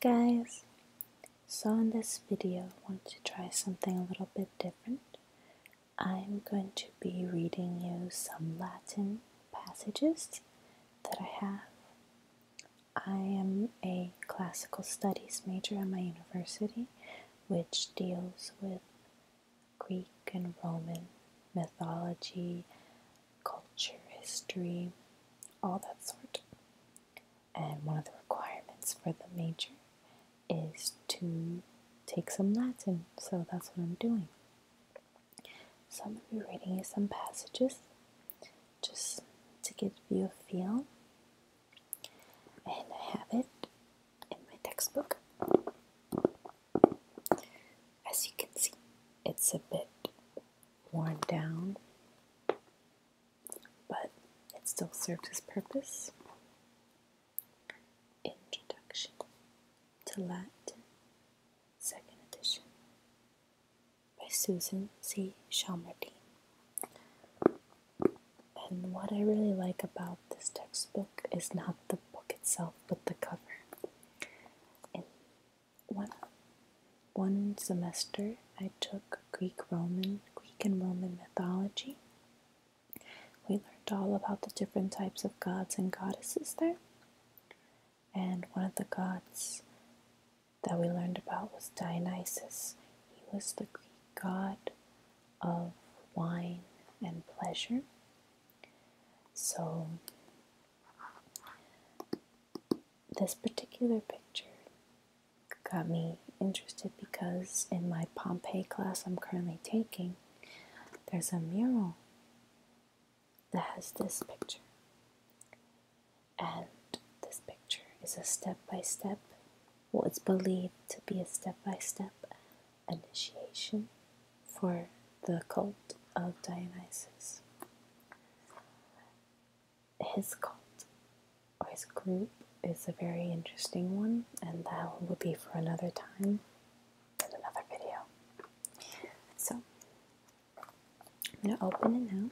Guys, so in this video I want to try something a little bit different. I'm going to be reading you some Latin passages that I have. I am a classical studies major at my university, which deals with Greek and Roman mythology, culture, history, all that sort and one of the requirements for the major is to take some Latin, so that's what I'm doing. So I'm going to be reading you some passages just to give you a feel, and I have it in my textbook. As you can see, it's a bit worn down but it still serves its purpose. Introduction to Latin, second edition, by Susan C. Shalmerdine. And what I really like about this textbook is not the book itself, but the cover one one semester I took Greek Roman Greek and Roman mythology. We learned all about the different types of gods and goddesses there. And one of the gods that we learned about was Dionysus. He was the Greek god of wine and pleasure. So this particular picture got me interested because in my Pompeii class I'm currently taking, there's a mural that has this picture. And this picture is a step by step, what's believed to be a step by step initiation for the cult of Dionysus his cult or his group is a very interesting one, and that will be for another time in another video. So I'm gonna open it now.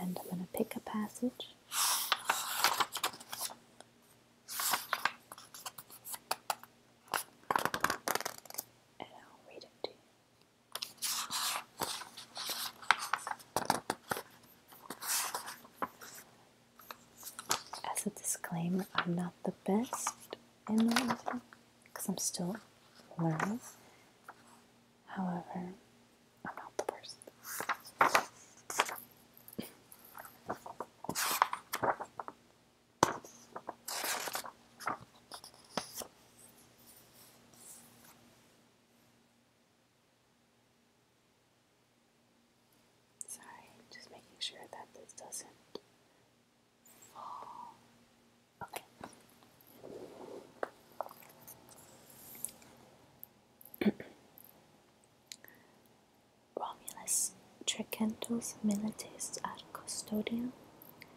And I'm going to pick a passage. And I'll read it to you. As a disclaimer, I'm not the best in that because I'm still learning. However, I'm not the worst. Sorry, just making sure that this doesn't fall. Okay. Romulus Tricentos Milites ad Custodium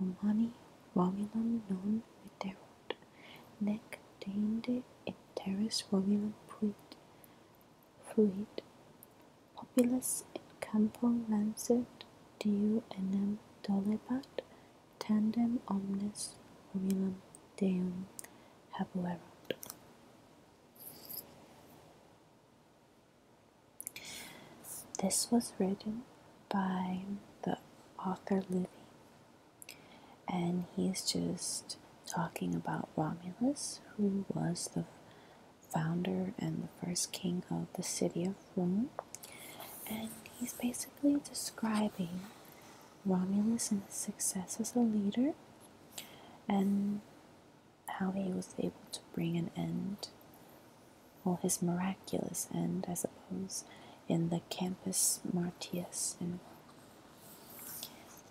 Romani, Romulum non veterunt, nec deinde in terris Romulum fuit, fluit, populus in campo lancet, Deo enem dolebat, tandem omnes Romulum Deum habuerunt. This was written by the author Livy, and he's just talking about Romulus, who was the founder and the first king of the city of Rome. And he's basically describing Romulus and his success as a leader and how he was able to bring an end well, his miraculous end, I suppose, in the Campus Martius And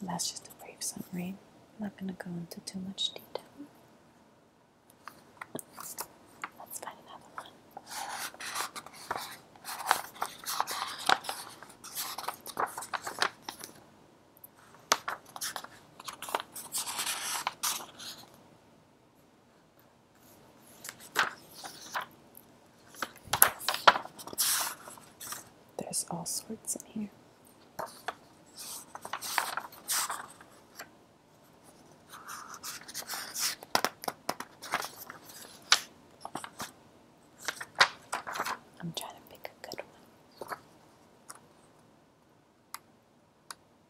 that's just a brief summary. I'm not going to go into too much detail. Let's find another one. There's all sorts in here. I'm trying to pick a good one.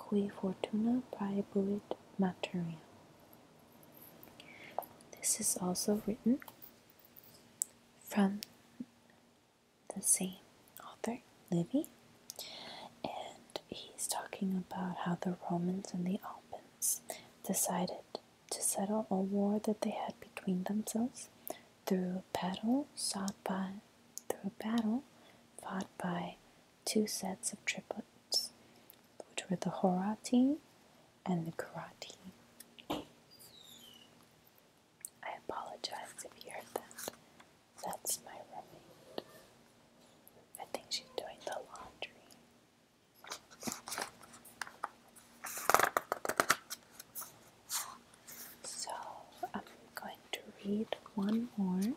Qui fortuna praebuit materiam. This is also written from the same author, Livy, and he's talking about how the Romans and the Alps decided to settle a war that they had between themselves through battle through battle fought by two sets of triplets, which were the Horati and the Karati. I apologize if you heard that. That's my roommate. I think she's doing the laundry. So I'm going to read one more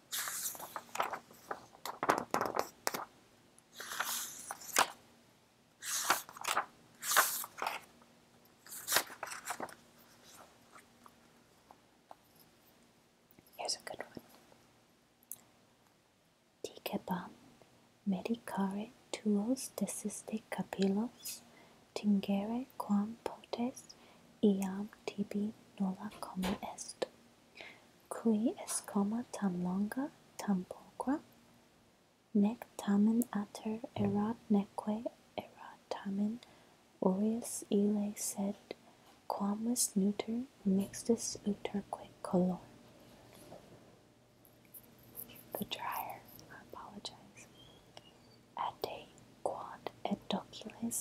Here's a good one. Tigeban medicare tuos desiste capillos, tingere quam potes, iam tibi nulla como est. Cui escoma tam longa tam pulcra, nec tamen ater erat neque erat tamen aureus ille sed quamus neuter mixtus uterque color. The dryer, I apologize. Ate quod et docules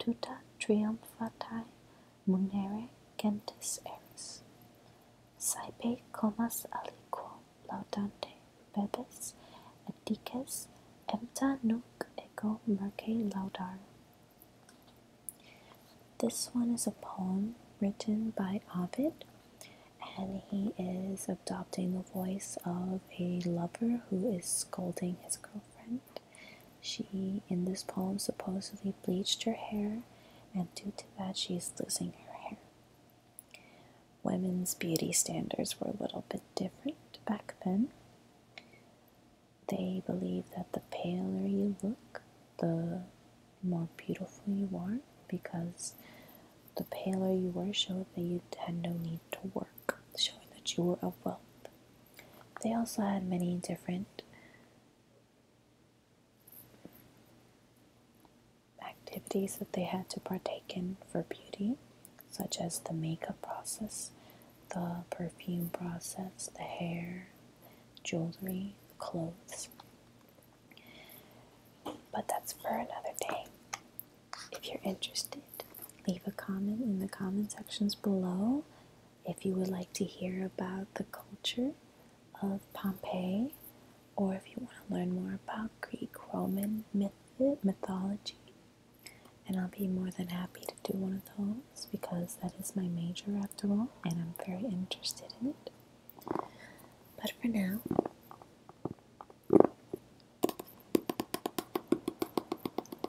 tuta triumphatae munere gentis eris. Saepe comas aliquo laudante bebes et dices, empta nunc ego merce laudar. This one is a poem written by Ovid, and he is adopting the voice of a lover who is scolding his girlfriend. She, in this poem, supposedly bleached her hair, and due to that, she is losing her hair. Women's beauty standards were a little bit different back then. They believed that the paler you look, the more beautiful you are, because the paler you were showed that you had no need to work, showing that you were of wealth. They also had many different activities that they had to partake in for beauty, such as the makeup process, the perfume process, the hair, jewelry, clothes. But that's for another day. If you're interested, Leave a comment in the comment sections below if you would like to hear about the culture of Pompeii or if you want to learn more about Greek Roman myth mythology. And I'll be more than happy to do one of those because that is my major after all and I'm very interested in it. But for now,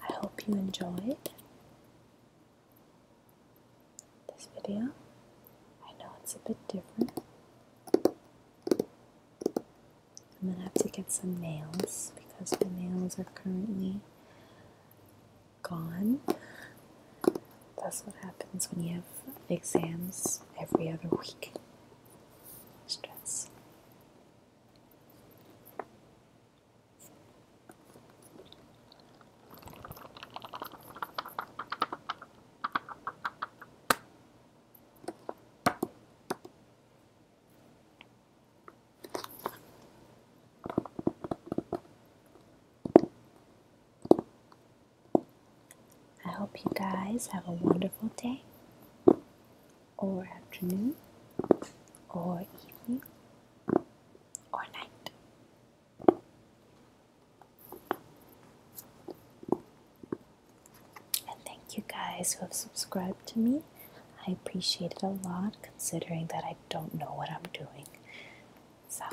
I hope you enjoyed this video. I know it's a bit different. I'm gonna have to get some nails because my nails are currently gone. That's what happens when you have exams every other week. Stress. I hope you guys have a wonderful day or afternoon or evening or night. And thank you guys who have subscribed to me. I appreciate it a lot considering that I don't know what I'm doing. So,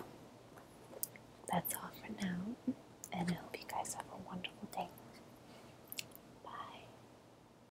that's all for now, and I hope you guys have a wonderful day. Bye.